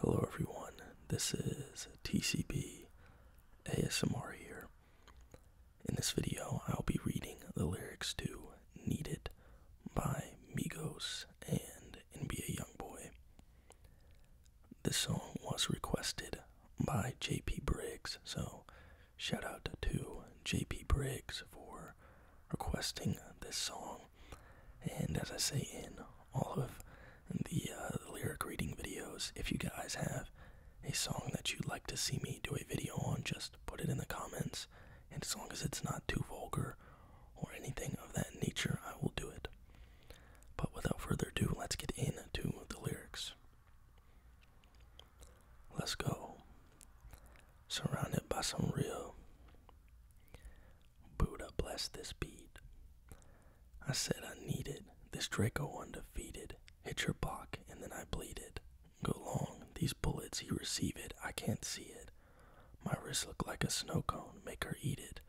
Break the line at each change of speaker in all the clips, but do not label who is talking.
Hello everyone, this is TCB ASMR here. In this video, I'll be reading the lyrics to Need It by Migos and NBA Youngboy. This song was requested by JP Briggs, so shout out to JP Briggs for requesting this song. And as I say in all of uh, the, lyric reading videos. If you guys have a song that you'd like to see me do a video on, just put it in the comments. And as long as it's not too vulgar or anything of that nature, I will do it. But without further ado, let's get into the lyrics. Let's go. Surrounded by some real Buddha bless this bead. I said I need it. this Draco undefeated. Hit your back, and then I bleeded. Go long, these bullets, he receive it, I can't see it. My wrist look like a snow cone, make her eat it.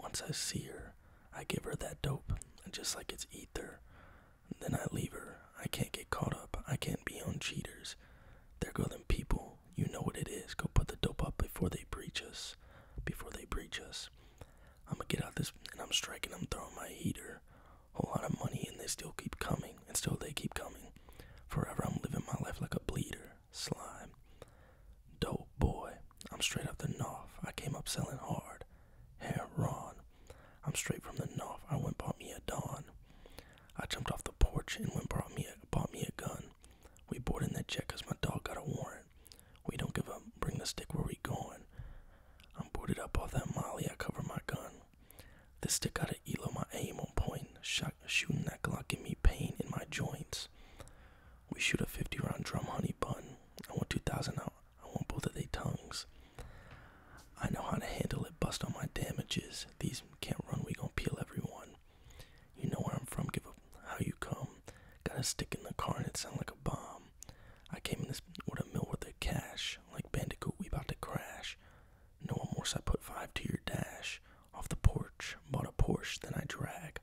Once I see her, I give her that dope, just like it's ether. Then I leave her, I can't get caught up, I can't be on cheaters. There go them people, you know what it is. Go put the dope up before they preach us. Before they preach us. I'm gonna get out this and I'm striking. I'm throwing my heater. Whole lot of money and they still keep coming. And still they keep coming. Forever I'm living my life like a bleeder. Slime. Dope boy. I'm straight up the north. I came up selling hard. Heron. I'm straight from the north. I went bought me a dawn. I jumped off the porch and went brought me a, bought me a gun. We boarded that check because my dog got a warrant. We don't give up. Bring the stick where we going. I'm boarded up off that molly. I cover my gun. This stick got an elo, my aim on point. Shot, shooting that Glock give me pain in my joints. We shoot a 50 round drum honey bun. I want 2,000 out. I want both of they tongues. I know how to handle it, bust on my damages. These can't run, we gon' peel everyone. You know where I'm from, give up how you come. Got a stick in the car and it sound like a bomb. I came in this with a mill with of cash. Like Bandicoot, we about to crash. No one more, I put five to your dash. Off the porch, bought a Porsche, then I drag.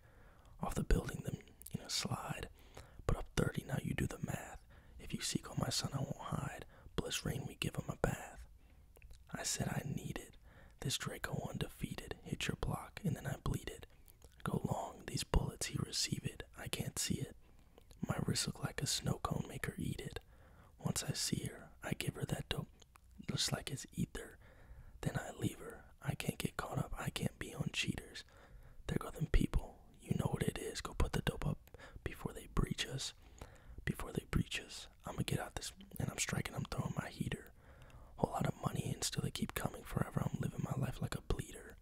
Off the building, then, you know, slide. But up thirty now you do the math. If you seek on my son, I won't hide. Bless rain, we give him a bath. I said I need it. this Draco undefeated. Hit your block, and then I bleed it. Go long, these bullets he received. I can't see it. My wrist look like a snow cone, make her eat it. Once I see her, I give her that dope, just like it's ether. Then I leave her. I can't get caught up, I can't be on cheaters. There go them people. You know what it is. Go put the dope up before they breach us. Before they breach us. I'm gonna get out this and I'm striking, I'm throwing my heater. Whole lot of money and still they keep coming forever. I'm living my life like a bleeder.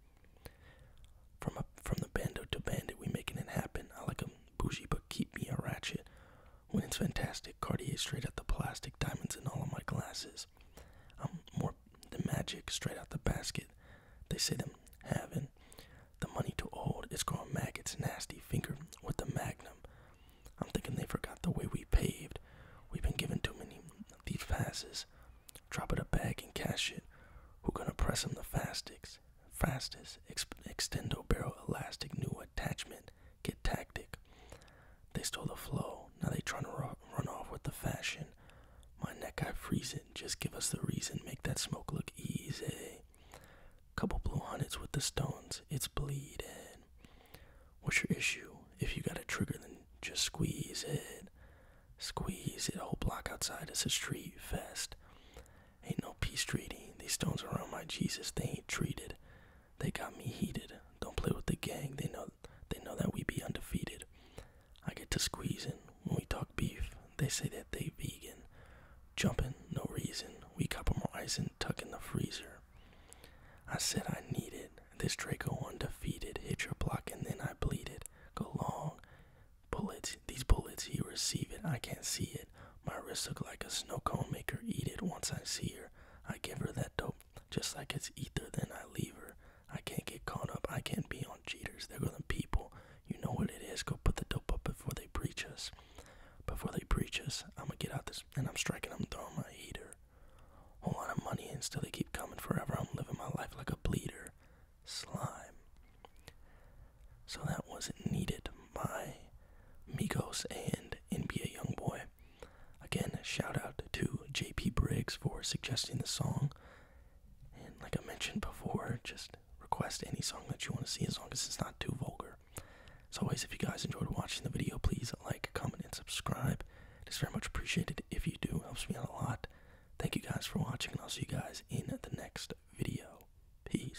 From a, from the bando to bandit, we making it happen. I like a bougie, but keep me a ratchet. When it's fantastic, Cartier straight at the plastic, diamonds in all of my glasses. I'm more the magic straight out the basket. They say them having the money to hold. It's going called It's nasty finger with the magnum. I'm thinking they forgot the way we paved. We've been given too many of these passes. Drop it a bag and cash it. Who gonna press them the fastest? Fastest. Ex extendo barrel elastic new attachment. Get tactic. They stole the flow, now they trying to run off with the fashion. My neck, I freeze it. Just give us the reason. Make that smoke look easy. Couple blue hundreds with the stones. It's bleeding. What's your issue? If you got a trigger, then just squeeze it. Squeeze it. A whole block outside. It's a street fest. Ain't no peace treaty. These stones around my Jesus, they ain't treated. They got me heated. Don't play with the gang. They know they know that we be undefeated. I get to squeezing when we talk beef. They say that they vegan. Jumping, no reason. We cop 'em ice and tuck in the freezer. I said I needed this Draco undefeated. Hit your block and then I bleed it. Go long. Bullets, these bullets, He receive it. I can't see it. My wrist look like a snow cone maker. Eat it once I see her. I give her that dope just like it's ether, then I leave her. I can't get caught up. I can't be on cheaters. They're going to people. You know what it is. Go put the dope up before they preach us. Before they preach us, I'm going to get out this and I'm striking I'm throwing my ether. Whole lot of money and still they keep coming forever. I'm living my life like a bleeder. Slime. So that wasn't needed. My amigos and NBA young boy. Again, shout out to JP Briggs for suggesting the song. And like I mentioned before, just request any song that you want to see as long as it's not too vulgar. As always, if you guys enjoyed watching the video, please like, comment, and subscribe. It is very much appreciated if you do, helps me out a lot. Thank you guys for watching, and I'll see you guys in the next video. Peace.